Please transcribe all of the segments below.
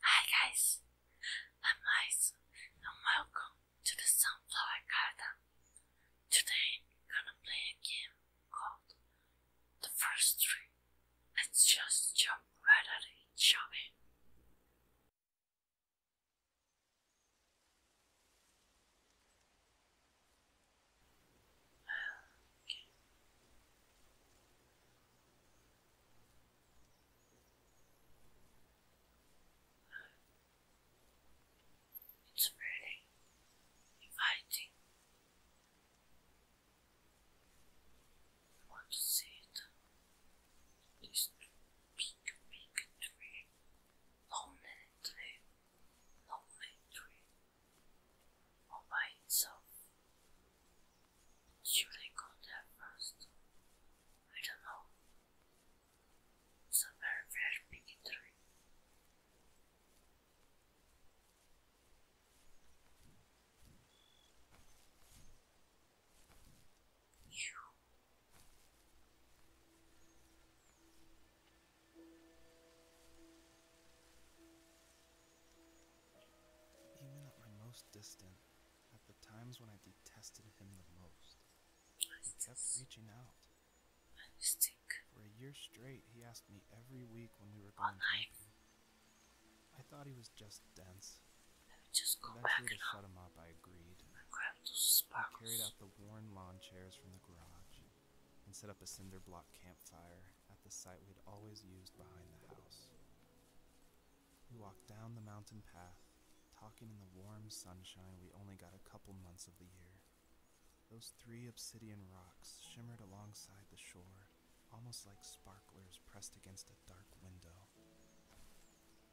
Hi guys, I'm Mice and welcome to the Sunflower Garden. Today I'm gonna play a game called The First Tree. Let's just jump right at it, shall we? It's really inviting. I it. This big, big tree. Lonely tree. Lonely tree. All by itself. Should I go there first? I don't know. It's a very, very big even at my most distant, at the times when I detested him the most, he kept reaching out. For a year straight, he asked me every week when we were going camping. I thought he was just dense. Let just go Eventually, back to shut him up, I agreed. I grabbed those I carried out the worn lawn chairs from the garage and set up a cinder block campfire at the site we would always used behind the house. We walked down the mountain path, talking in the warm sunshine we only got a couple months of the year. Those three obsidian rocks shimmered alongside the shore, almost like sparklers pressed against a dark window.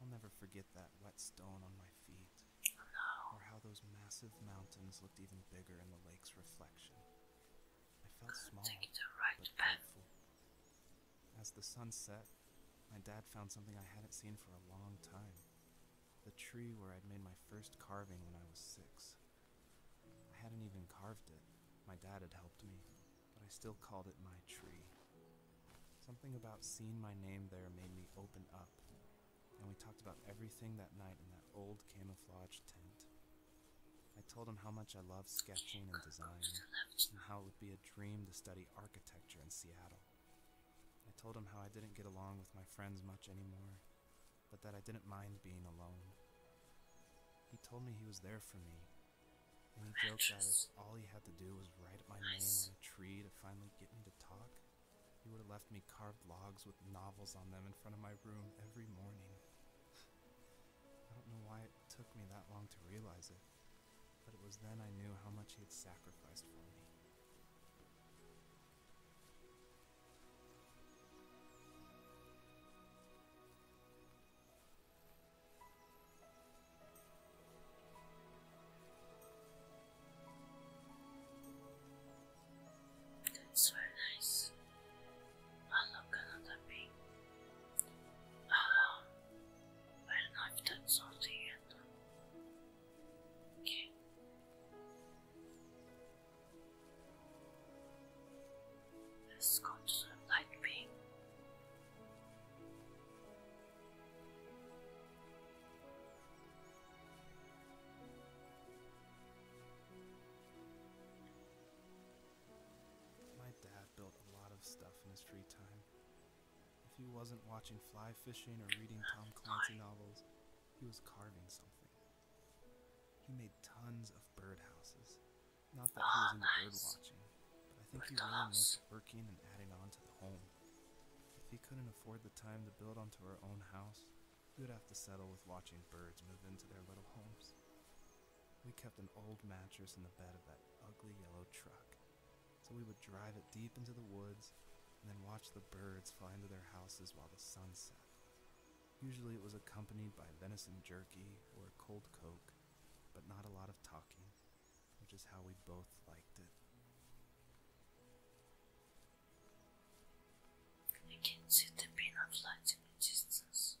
I'll never forget that wet stone on my feet, or how those massive mountains looked even bigger in the lake's reflection. I felt small, but grateful. As the sun set, my dad found something I hadn't seen for a long time. The tree where I'd made my first carving when I was six. I hadn't even carved it. My dad had helped me, but I still called it my tree. Something about seeing my name there made me open up, and we talked about everything that night in that old camouflage tent. I told him how much I loved sketching and design, and how it would be a dream to study architecture in Seattle. I told him how I didn't get along with my friends much anymore, but that I didn't mind being alone. He told me he was there for me, and he joked that if all he had to do was write my name on a tree to finally get me to talk, he would have left me carved logs with novels on them in front of my room every morning. I don't know why it took me that long to realize it, but it was then I knew how much he had sacrificed for me. That's very nice. Alakana tabii. Um, I don't know if that's salty Okay. Let's the light pink. My dad built a lot of stuff in his free time. If he wasn't watching fly fishing or reading Tom Clancy novels, he was carving something. He made tons of birdhouses. Not that he was into oh, nice. bird watching, but I think he was liked working and adding on to the home. If he couldn't afford the time to build onto our own house, we would have to settle with watching birds move into their little homes. We kept an old mattress in the bed of that ugly yellow truck, so we would drive it deep into the woods and then watch the birds fly into their houses while the sun set. Usually it was accompanied by venison jerky or a cold coke, but not a lot of talking, which is how we both liked it. You can see the pin of light in the distance.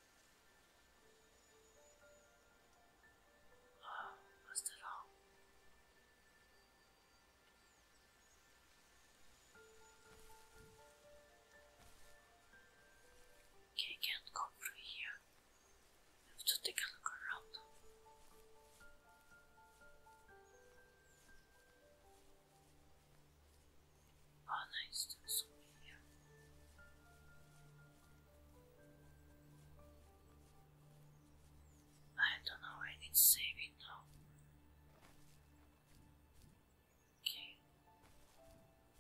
Oh, was Okay, I can't go through here. I have to take a look around. Anna is still I don't know when it's saving now. Okay.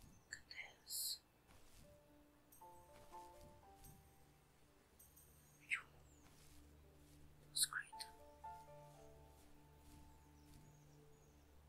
Look at this. That was great.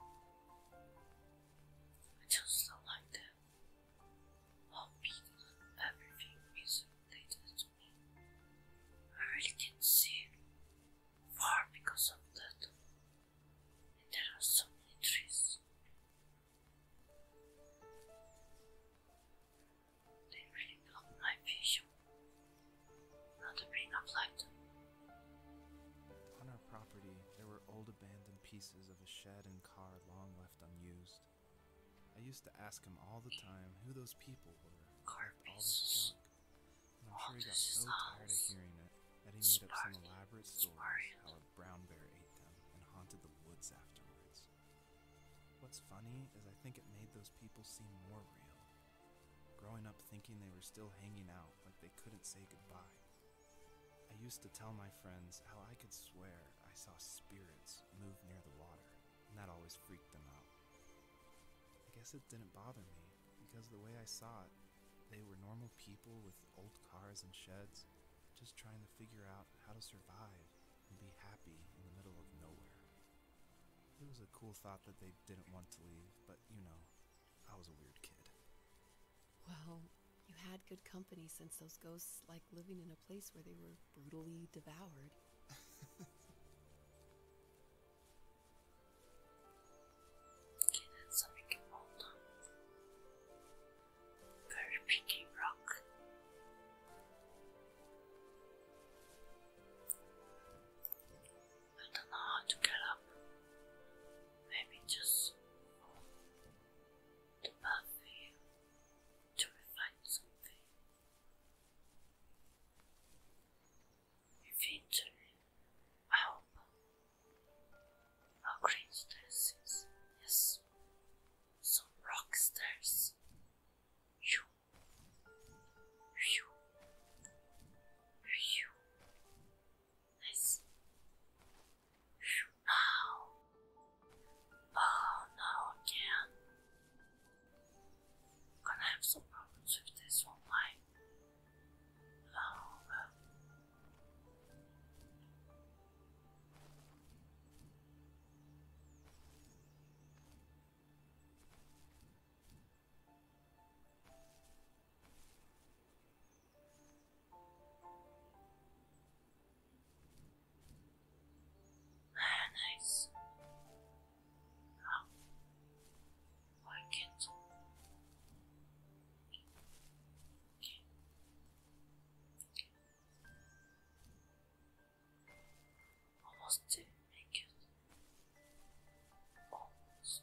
I just don't like them. All people and everything is related to me. I really can see far because of that. And there are so many trees. They really block my vision. Not to bring up like on our property, there were old abandoned pieces of a shed and car long left unused. I used to ask him all the time who those people were who all this junk, I'm sure he got so tired of hearing it that he made up some elaborate stories how a brown bear ate them and haunted the woods afterwards. What's funny is I think it made those people seem more real, growing up thinking they were still hanging out like they couldn't say goodbye. I used to tell my friends how I could swear I saw spirits move near the water, and that always freaked them out. I guess it didn't bother me, because the way I saw it, they were normal people with old cars and sheds, just trying to figure out how to survive and be happy in the middle of nowhere. It was a cool thought that they didn't want to leave, but you know, I was a weird kid. Well, you had good company since those ghosts like living in a place where they were brutally devoured. okay, that's so we can hold on. rock. I don't know how to get up. Maybe just to buffer you, to refine something. Eventually, I hope our yes, some rock stairs. You, you, you. Oh no, again. gonna have some problems with this one, like. Oh well. Uh, nice. Oh, I can't. Okay. Almost did make it. Almost.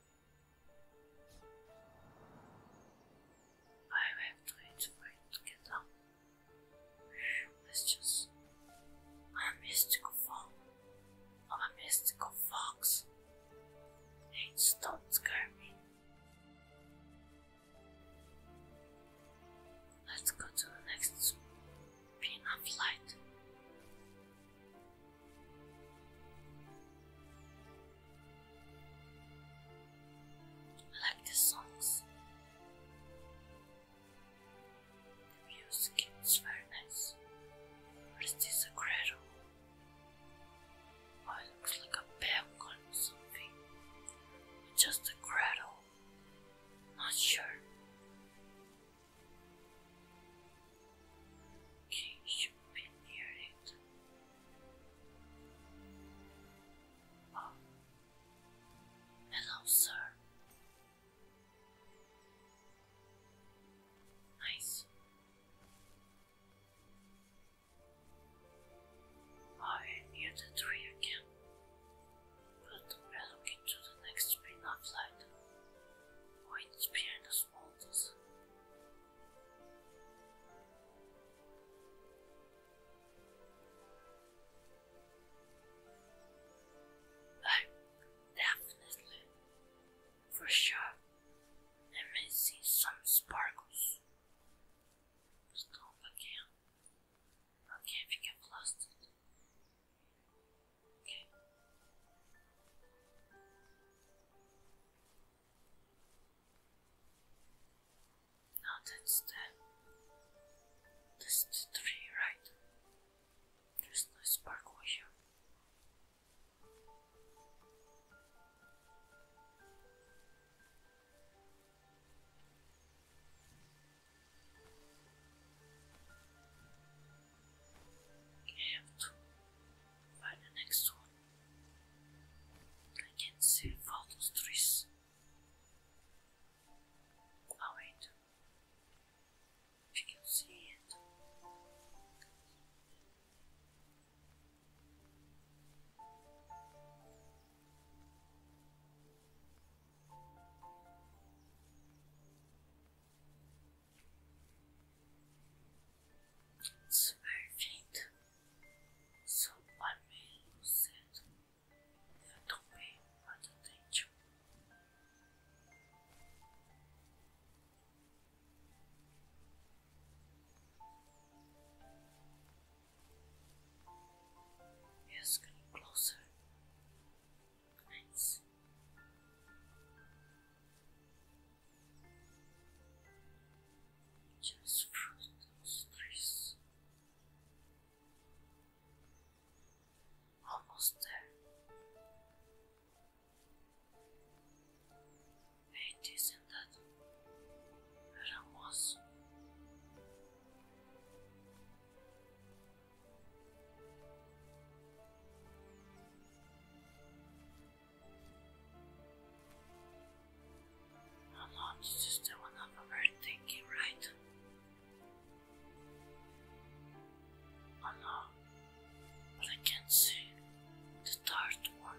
I have tried to get up. It's just a mystical fox. a mystical fox. It's do me. Let's go to the next beam of light. I like the songs. The music is very nice. What is this oh, cradle? it looks like a balcony or something. Just a cradle. Not sure. Okay, should be near it. Oh. Hello, sir. Nice. I am near the tree again, but we are looking to the next spin of light. Points behind the small apologies. Oh, definitely. For sure. I may see some sparkles. Stop again. Okay, if you get lost. Okay. Now that's the the tree, right? There's no spark over find the next one. I can see all those trees. Oh wait, you can see it. It's very faint, so one may lose it. The don't pay much attention. It's getting closer. Nice. Just freeze, those trees. Almost there. It isn't that where I'm not just one of our thinking, right? Oh no, but I can see the third one.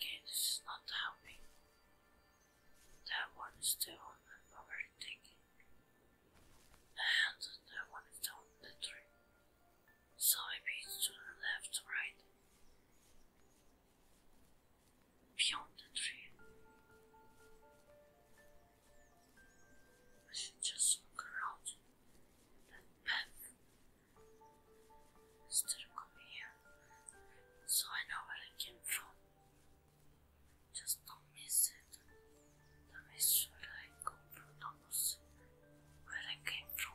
Okay, this is not helping. That one is the I'm overtaking. And that one is down the tree. So maybe it's to the left, right? Beyond the tree. I should just look around. That path is still coming here. So I know where I came from. Just don't miss it. The mystery I come from knows where I came from.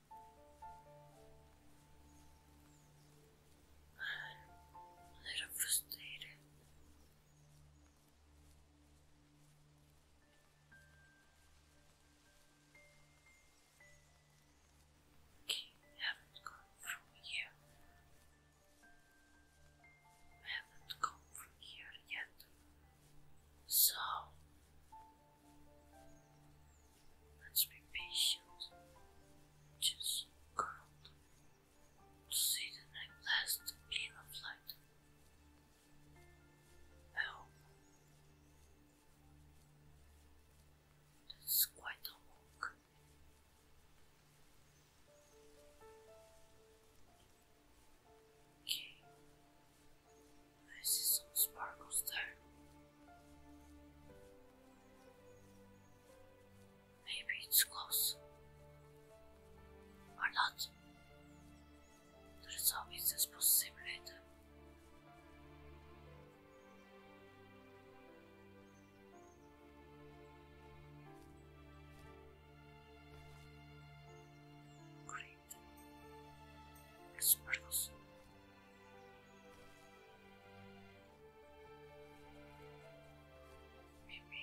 I'm a little frustrated. haven't come from here. haven't come from here yet. So Let's be patient. Just curled to see the night last beam of light. I hope that's quite a walk. Okay. I see some sparkles there. Maybe it's close. Or not. There is always this possibility. Great. Sparkles. Maybe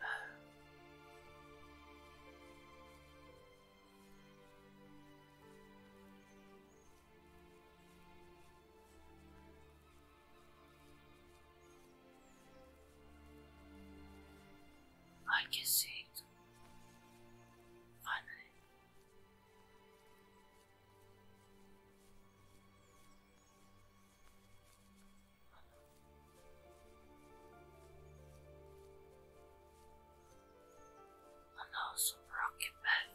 uh, I can see it finally. And also Rocky Beth.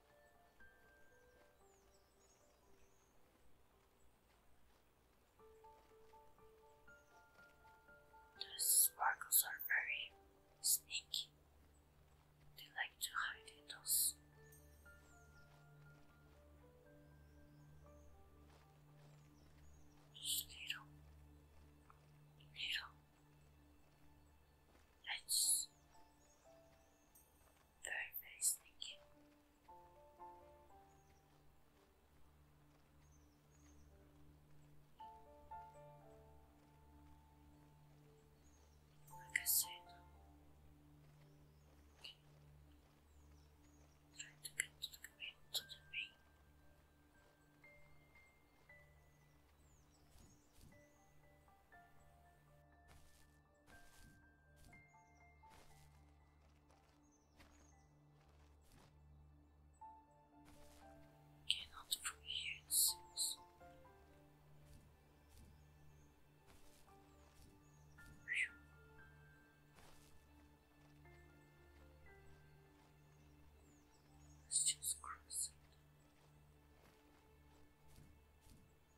The sparkles are very sneaky. They like to hide in those. Just little, Let's very nice, thank you. Like I said, okay. try to get to the middle to the ring. Cannot from here Let's just cross it.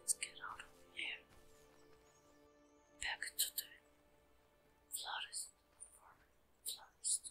Let's get out of here. Back to the florist for florist.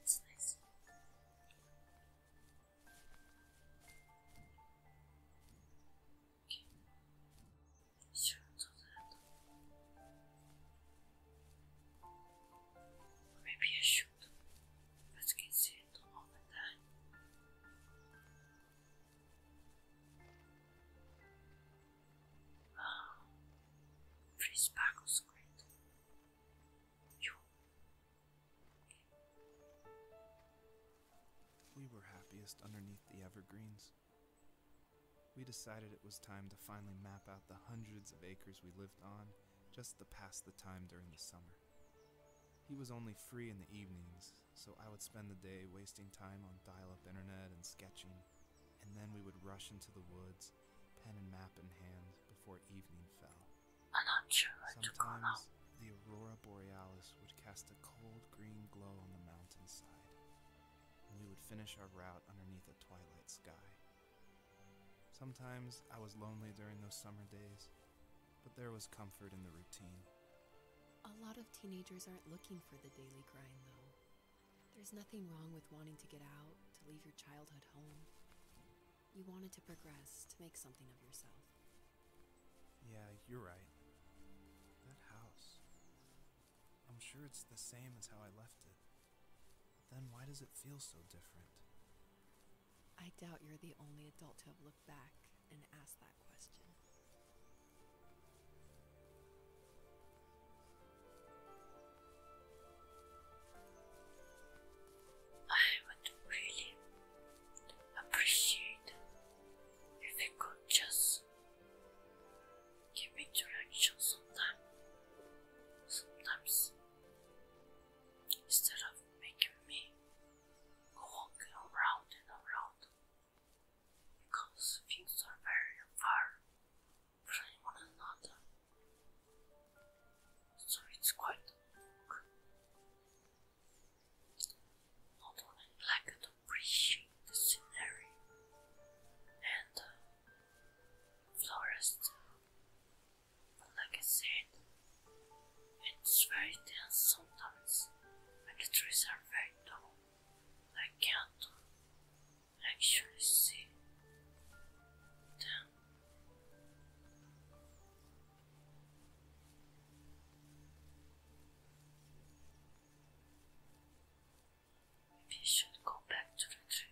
That's nice. Okay. Sure, maybe I should. Let's get it all the time. Oh, pretty sparkles We were happiest underneath the evergreens. We decided it was time to finally map out the hundreds of acres we lived on just to pass the time during the summer. He was only free in the evenings, so I would spend the day wasting time on dial up internet and sketching, and then we would rush into the woods, pen and map in hand, before evening fell. Sometimes the aurora borealis would cast a cold green glow on the mountainside, and we would finish our route underneath a twilight sky. Sometimes I was lonely during those summer days, but there was comfort in the routine. A lot of teenagers aren't looking for the daily grind, though. There's nothing wrong with wanting to get out, to leave your childhood home. You wanted to progress, to make something of yourself. Yeah, you're right. That house. I'm sure it's the same as how I left it. But then why does it feel so different? I doubt you're the only adult to have looked back and asked that question. I would really appreciate if you could just give me direction sometime. Sometimes instead of making me walking around and around because things are very far from one another. So it's quite a walk. Not like to appreciate scenery and uh, florist, like I said, it's very dense sometimes, and the trees are very tall. I can't actually see them. Maybe should go back to the tree.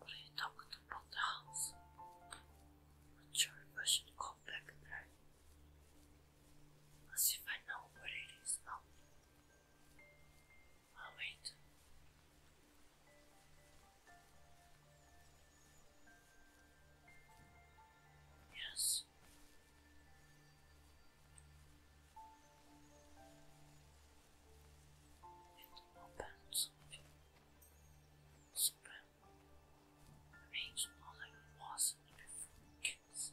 But he knocked upon the house. Not sure I should go back there. As if I know where it is I'll wait. Yes, else. And more bands of spring arranged more like was in before kids.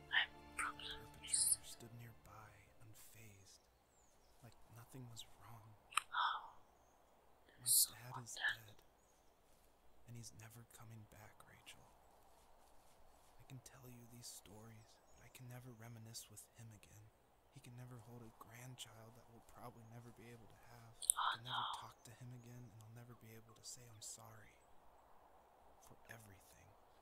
My problem is. stood nearby, unfazed, like nothing was wrong. my dad is dead, and he's never coming back, Rachel. I can tell you these stories, but I can never reminisce with him again. He can never hold a grandchild that we'll probably never be able to have. I'll never talk to him again, and I'll never be able to say I'm sorry for everything.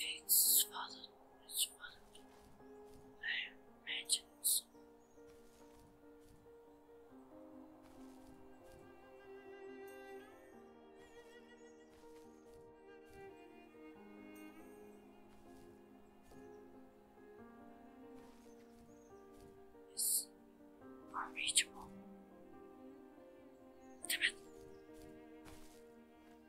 Its father, his father, I imagine so. It's unreachable. Damn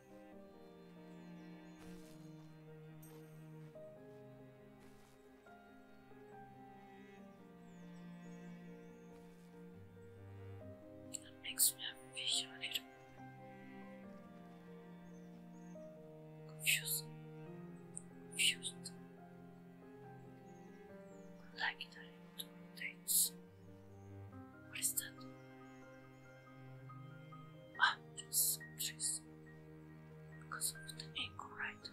That makes me feel a little confused. Like the little dates. What is that? i just because of the ankle, right?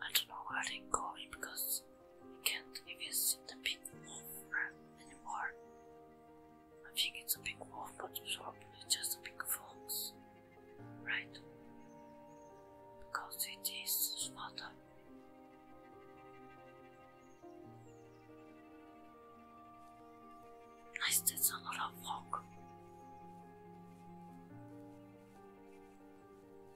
I don't know why I didn't call it because I can't even see the big wolf uh, anymore. I think it's a big wolf, but it's probably just a big fox, right? Because it is smarter. I Nice, that's a lot of fog.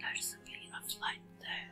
There's a bit of light there.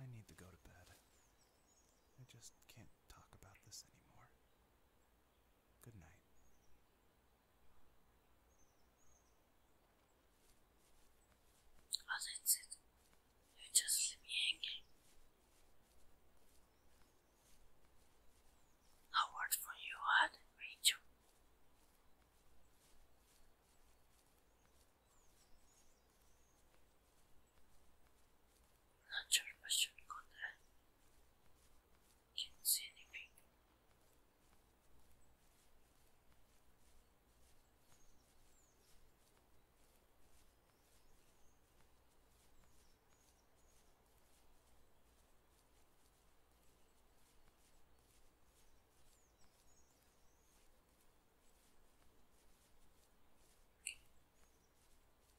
I need to go to bed. I just can't talk about this anymore. Good night. Oh, that's it. You just leave me hanging. A word for you, what, Rachel? Not sure if I there. I Can't see anything.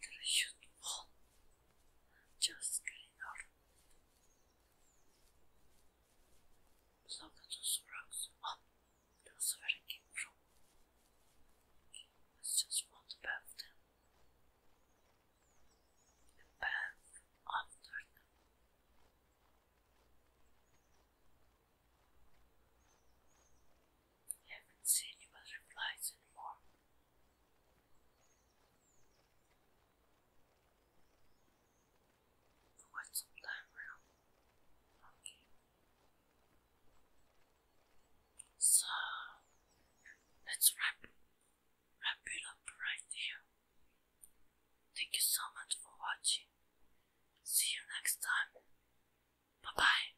Gotta shoot one. Just get enough. Look at those rocks. Oh, that's where came from. let just want to them. The bath I haven't seen any butterflies anymore. Quite some time around. Okay. So let's wrap wrap it up right here. Thank you so much for watching. See you next time. Bye bye.